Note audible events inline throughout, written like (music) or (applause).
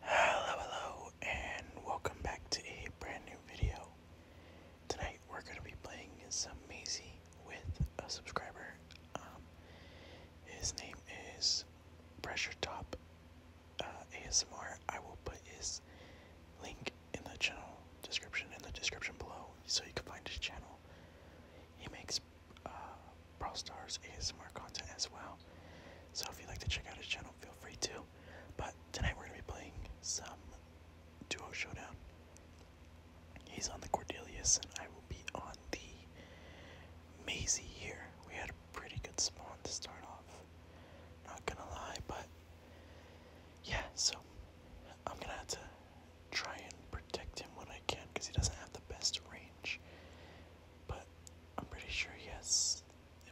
Hello, hello, and welcome back to a brand new video. Tonight we're going to be playing some Maisie with a subscriber. Um, his name is Pressure Top uh, ASMR. I will put his link in the channel description in the description below so you can find his channel. He makes uh, Brawl Stars is ASMR content as well. So if you'd like to check out his channel, feel free to. But tonight we're gonna be playing some duo showdown. He's on the Cordelius and I will be on the Maisie here. We had a pretty good spawn to start off. Not gonna lie, but yeah, so I'm gonna have to try and protect him when I can because he doesn't have the best range. But I'm pretty sure he has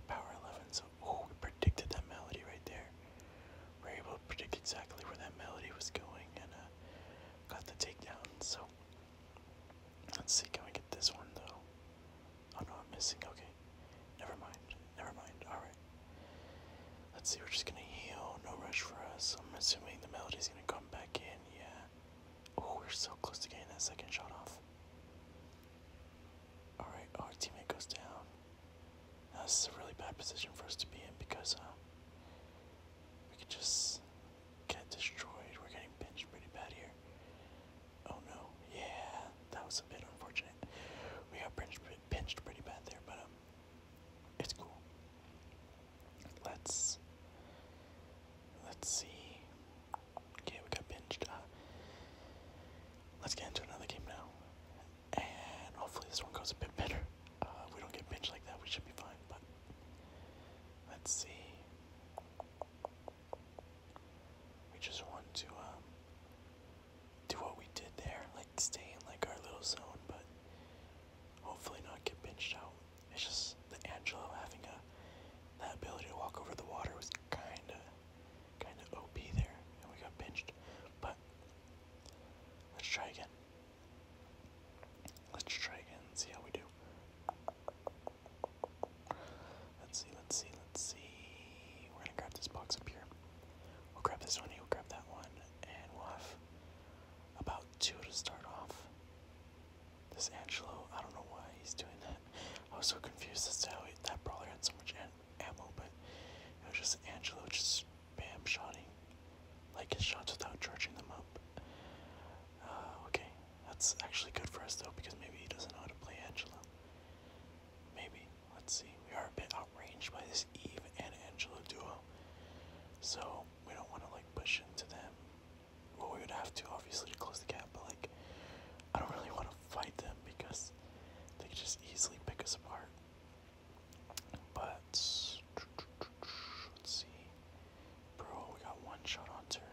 power 11, so we predicted that melody right there. We are able to predict exactly where that melody was going and uh, got the takedown. So let's see, can we get this one though? I oh, know I'm missing. Okay, never mind. Never mind. All right. Let's see. We're just gonna heal. No rush for us. I'm assuming the melody's gonna come back in. Yeah. Oh, we're so close to getting that second shot off. Alright, our teammate goes down. this is a really bad position for us to be in because uh, we could just get destroyed. We're getting pinched pretty bad here. Oh no, yeah, that was a bit unfortunate. We got pinched, pinched pretty bad there, but um, it's cool. Let's Let's see. Okay, we got pinched. Uh, let's get into another game now. And hopefully this one goes a bit better. Uh, we don't get pinched like that, we should be fine, but let's see. We just want to um, do what we did there, like stay in like our little zone, but hopefully not get pinched out. It's just the Angelo having a that ability to walk over the water was kinda kinda OP there and we got pinched. But let's try again. Let's try again see how we do. Let's see, let's see, let's see. We're gonna grab this box up here. We'll grab this one, we'll grab that one, and we'll have about two to start off. This Angelo, I don't know why he's doing that. I was so confused as to he, that probably had so much ammo, but it was just Angelo just spam shooting, like his shots without charging them up. Uh, okay, that's actually good for us though because maybe he doesn't know how to play Angelo. Maybe. Let's see. We are a bit out outraged by this Eve and Angelo duo, so we don't want to like push into them well, we would have to obviously to close the gap, but like, I don't really want to fight them because they could just easily pick us apart. But let's see, bro, we got one shot on her.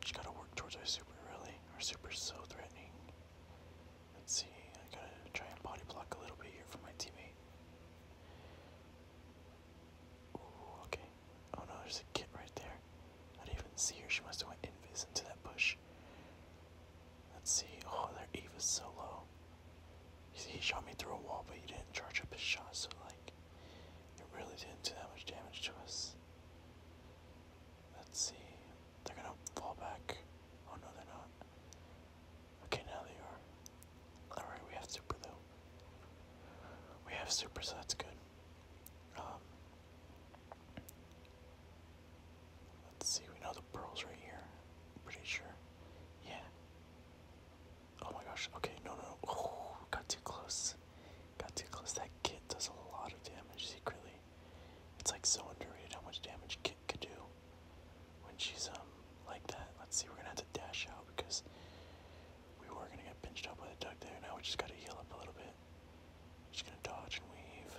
Just gotta work towards our super, really. Our super so threatening. Let's see, I gotta try and body block a little bit here for my teammate. okay, Oh no, there's a kid right there. I didn't even see her. She must have went invis into that bush. Let's see. Oh, their Eva's so low. he shot me through a wall, but he didn't charge up his shot, so like, it really didn't do that much damage to us. Let's see. They're gonna fall back. Oh no, they're not. Okay, now they are. Alright, we have super though. We have super, so that's good. Um, let's see, we know the pearls right here. pretty sure. Yeah. Oh my gosh. Okay, no, no, no. Oh, got too close. Got too close. That kid does a lot of damage secretly. It's like so underrated how much damage Kit could do when she's um like that. Let's see, we're gonna have to dash out because we were gonna get pinched up by the duck there. Now we just gotta heal up a little bit. Just gonna dodge and weave.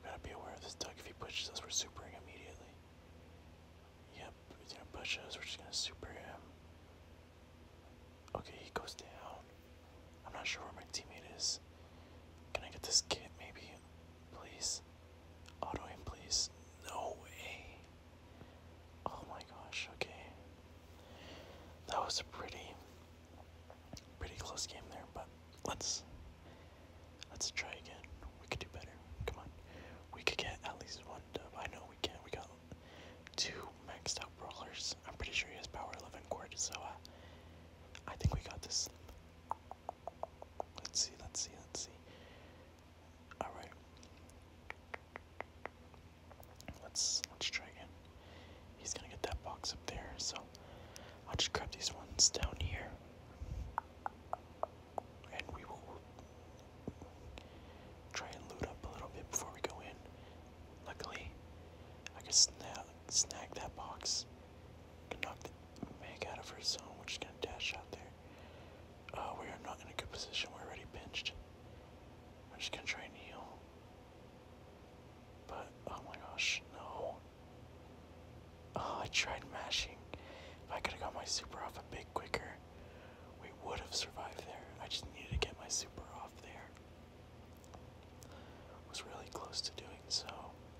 We gotta be aware of this duck. If he pushes us, we're supering immediately. Yep, he's gonna push us. We're just gonna super him. Okay, he goes down. I'm not sure where my teammate is. Can I get this kit, maybe? Please. Auto him, please. No way. Oh my gosh, okay. That was a pretty pretty close game there, but let's let's try again. We could do better. Come on. We could get at least one dub. I know we can. We got two maxed out brawlers. I'm pretty sure he has power 11 cord, so uh, I think we got this. Let's see, let's see, let's see. All right. Let's let's try again. He's gonna get that box up there, so I'll just grab these ones down here, and we will try and loot up a little bit before we go in. Luckily, I can snag snag that box, knock the meg out of her zone. We're just gonna dash out there. Uh, we are not in a good position. We're already pinched. I'm just gonna try and heal. But oh my gosh, no. Oh, I tried mashing. If I could have got my super off a bit quicker, we would have survived there. I just needed to get my super off there. Was really close to doing so.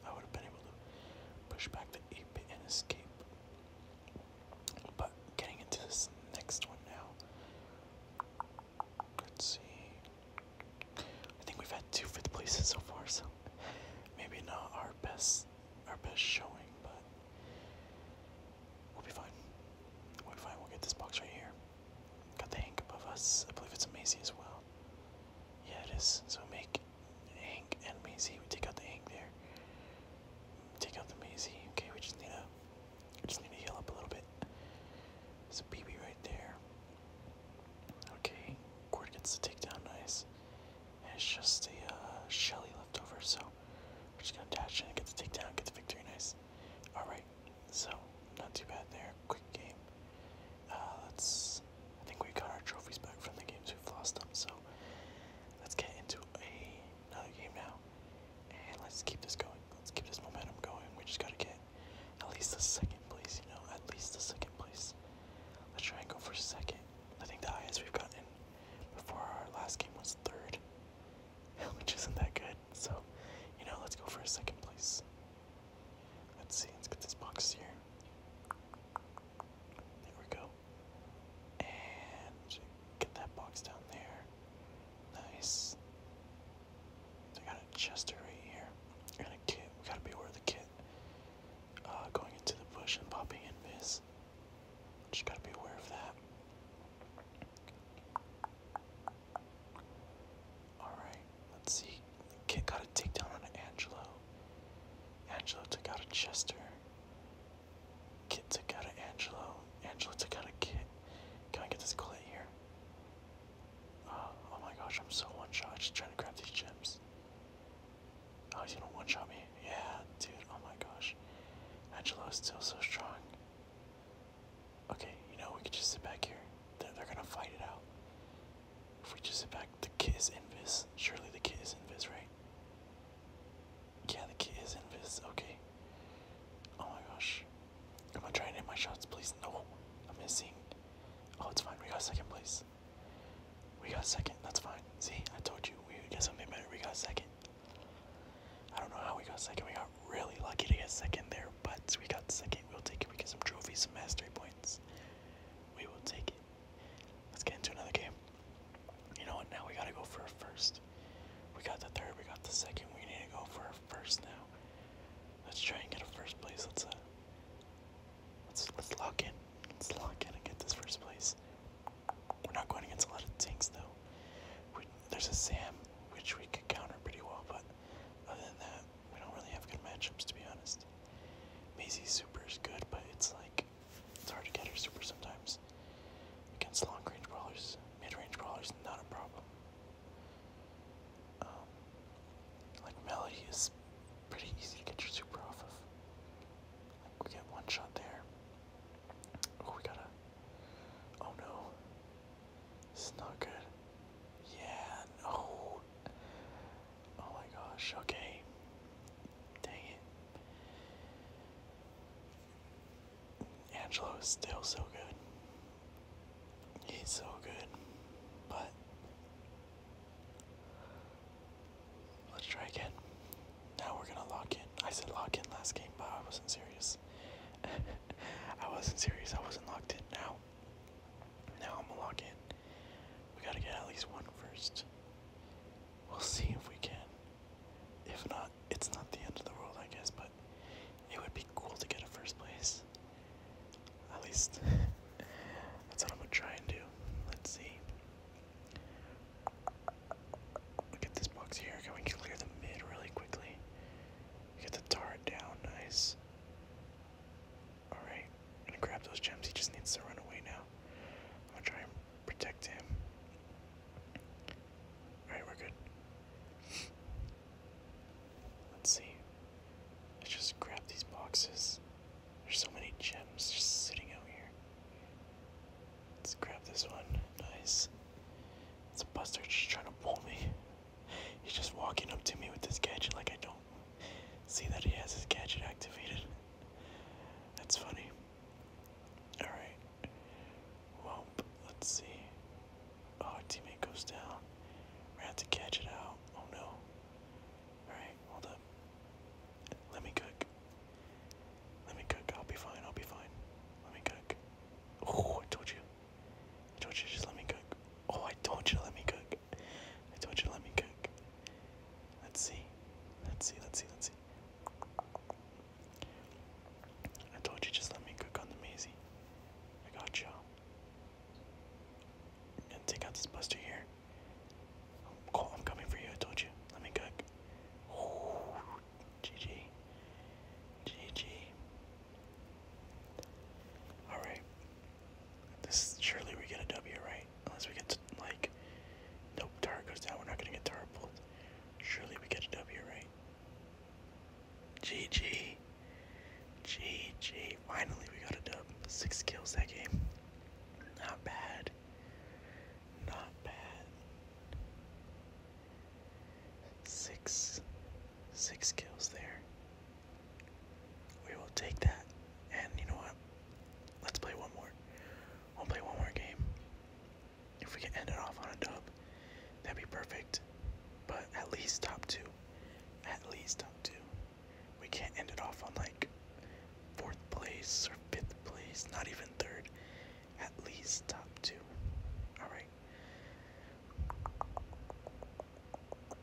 I would have been able to push back the 8 and escape. But getting into this next one now. Let's see. I think we've had two fifth places so far, so maybe not our best our best showing, but we'll be fine. We'll fine, we'll get this box right here. Got the Hank above us. I believe it's amazing as well. Yeah it is. So make Hank and Maisie. We take out the Hank there take out the Maisie. Okay, we just need to we just need to heal up a little bit. There's a BB right there. Okay, Cord gets the takedown, nice. it's just a uh, Shelly left over, so we're just gonna dash in and get the take down, get the victory, nice. Alright, so not too bad there. Quick game. Uh, let's. I think we got our trophies back from the games we've lost them, so let's get into a, another game now let's keep this going. Let's keep this momentum going. We just gotta get at least the second place, you know, at least the second place. Let's try and go for second. I think the highest we've gotten before our last game was third, (laughs) which isn't that good. So, you know, let's go for a second place. Let's see, let's get this box here. There we go. And get that box down there. Nice. They got a Chester right here. And a kit. We gotta beware of the kit. Uh, going into the bush and popping in miss. Just gotta be aware of that. Alright, let's see. kit got a takedown on Angelo. Angelo took out a Chester. Kit to out of Angelo. Angelo to out of Kit. Can I get this clay here? Oh, oh my gosh, I'm so one shot. Just trying to grab these gems. Oh, he's gonna one shot me. Yeah, dude. Oh my gosh. Angelo is still so strong. Okay, you know, we could just sit back here. They're, they're gonna fight it out. If we just sit back, the kiss is invis. Surely the kiss is invis, right? Yeah, the kid is in this. Okay. Oh my gosh. Come on, try and hit my shots, please. No, I'm missing. Oh, it's fine. We got second please. We got second. That's fine. See, I told you we would get something better. We got second. I don't know how we got second. We got really lucky to get second there, but we got second. We'll take it. We get some trophies, some mastery points. We will take it. Let's get into another game. You know what? Now we gotta go for first. We got the third, we got the second. We need to go for first now. Let's try and get a first place. Let's uh, let's let's lock in. Let's lock in and get this first place. We're not going against a lot of tanks though. there's a Sam, which we could counter pretty well, but other than that, we don't really have good matchups to be honest. Maisy Super is good, but it's like it's hard to get her super sometimes. Against long range brawlers, mid range brawlers, not a problem. Um, like Melody is pretty easy to get your super off of. we get one shot there. Oh, we gotta. Oh no. This is not good. Yeah, no. Oh my gosh, okay. Dang it. Angelo is still so good. He's so good. But let's try again. Now we're gonna lock in. I said lock in last game, but I wasn't serious. (laughs) I wasn't serious. I wasn't locked in. Now, now I'm gonna lock in. We gotta get at least one first. We'll see if we can. If not, it's not the end of the world, I guess, but it would be cool to get a first place. At least, (laughs) that's what I'm gonna try and do. Let's see. Look at this box here. Can we clear the mid really quickly? Get the turret down, nice. Alright, gonna grab those gems. He just needs to run away now. I'm try protect him. Alright, we're good. Let's see. Let's just grab these boxes. There's so many gems just sitting out here. Let's grab this one. Nice. It's a buster just trying to pull me. (laughs) He's just walking up to me with this gadget like I don't see that he has his gadget activated. That's funny. Alright. Well, let's see. Oh, our teammate goes down. we have to catch it out. Oh no. Alright, hold up. Let me cook. Let me cook. I'll be fine. I'll be fine. Let me cook. Oh, I told you. told you just let me cook. Oh, I told you to let me cook. I told you let me cook. Let's see. Let's see. Let's see. Let's see. I told you just let me cook on the Maisie. I got you. I'm gonna take out this buster here. I'm, cool, I'm coming for you, I told you. Let me cook. GG. GG. Alright. This surely we get a W, right? Unless we get to, like, nope, Tara goes down. We're not gonna get Tara pulled. Surely we get a W, right? GG. GG. Finally we got a dub. Six kills that game. Not bad. Not bad. Six six kills there. We will take that. And you know what? Let's play one more. We'll play one more game. If we can end it off on a dub, that'd be perfect. But at least top two. At least top two. We can't end it off on like fourth place or fifth place, not even third. At least top two. Alright.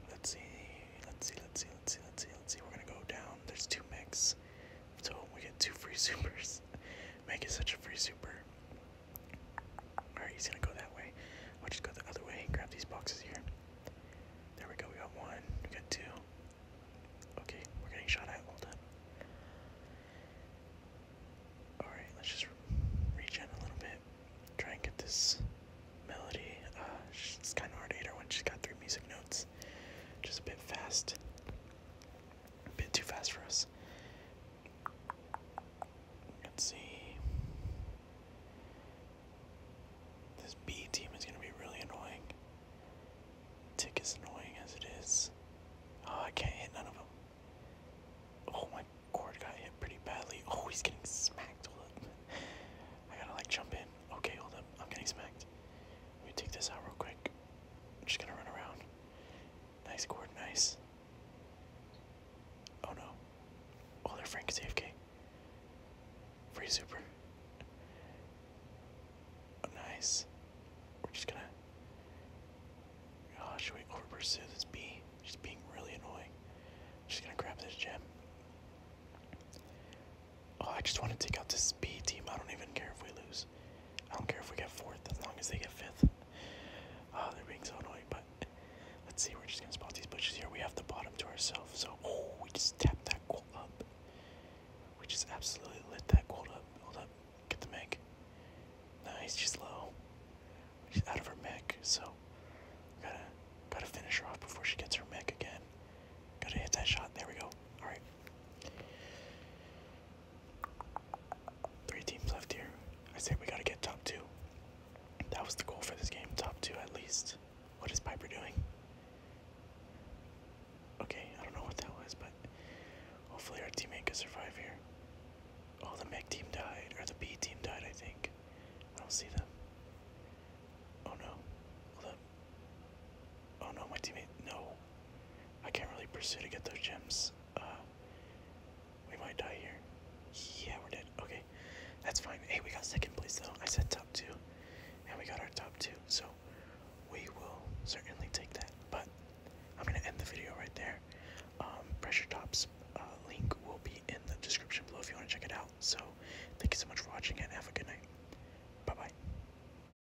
Let's see. Let's see. Let's see. Let's see. Let's see. Let's see. We're gonna go down. There's two mix. So we get two free (laughs) supers. Make it such a free super. Alright, he's gonna go that way. I'll just go the other way and grab these boxes here. There we go, we got one, we got two. Okay, we're getting shot at, hold up. Alright, let's just regen a little bit. Try and get this melody. Uh, it's kind of hard to hit her when she's got three music notes. Just a bit fast. A bit too fast for us. Let's see. This B team is going to be really annoying. Tick is annoying as it is. Oh, I can't hit none of them. Oh, my cord got hit pretty badly. Oh, he's getting smacked. Hold up. I gotta like jump in. Okay, hold up. I'm getting smacked. Let me take this out real quick. just gonna run around. Nice cord, nice. Oh no. Oh, their Frank is AFK. Free super. Oh, nice. We're just gonna. Oh, should we over pursue this B? She's being really annoying. She's gonna grab this gem. Oh, I just want to take out this B team. I don't even care if we lose lose. I don't care if we get fourth, as long as they get fifth. Uh, they're being so annoying, but let's see. We're just gonna spot these bushes here. We have the bottom to ourselves. So, oh, we just tapped that goal up. We just absolutely lit that goal up. Hold up, get the mech. Nice, she's low. She's out of her mech, so gotta gotta finish her off before she gets her mech again. Gotta hit that shot. There we go. All right. Three teams left here. I said we gotta get top two. That was the goal for this game, top two at least. What is Piper doing? Okay, I don't know what that was, but hopefully our teammate can survive here. Oh, the Meg team died, or the B team died, I think. I don't see them. Oh no. Hold up. Oh no, my teammate. No. I can't really pursue to get those gems. Uh, we might die here. Yeah, we're dead. Okay, that's fine. Hey, we got second place though. I said top two, and we got our top two. So we will certainly take that. But I'm gonna end the video right there. Um, Pressure Tops uh, link will be in the description below if you wanna check it out. So thank you so much for watching and have a good night. Bye bye.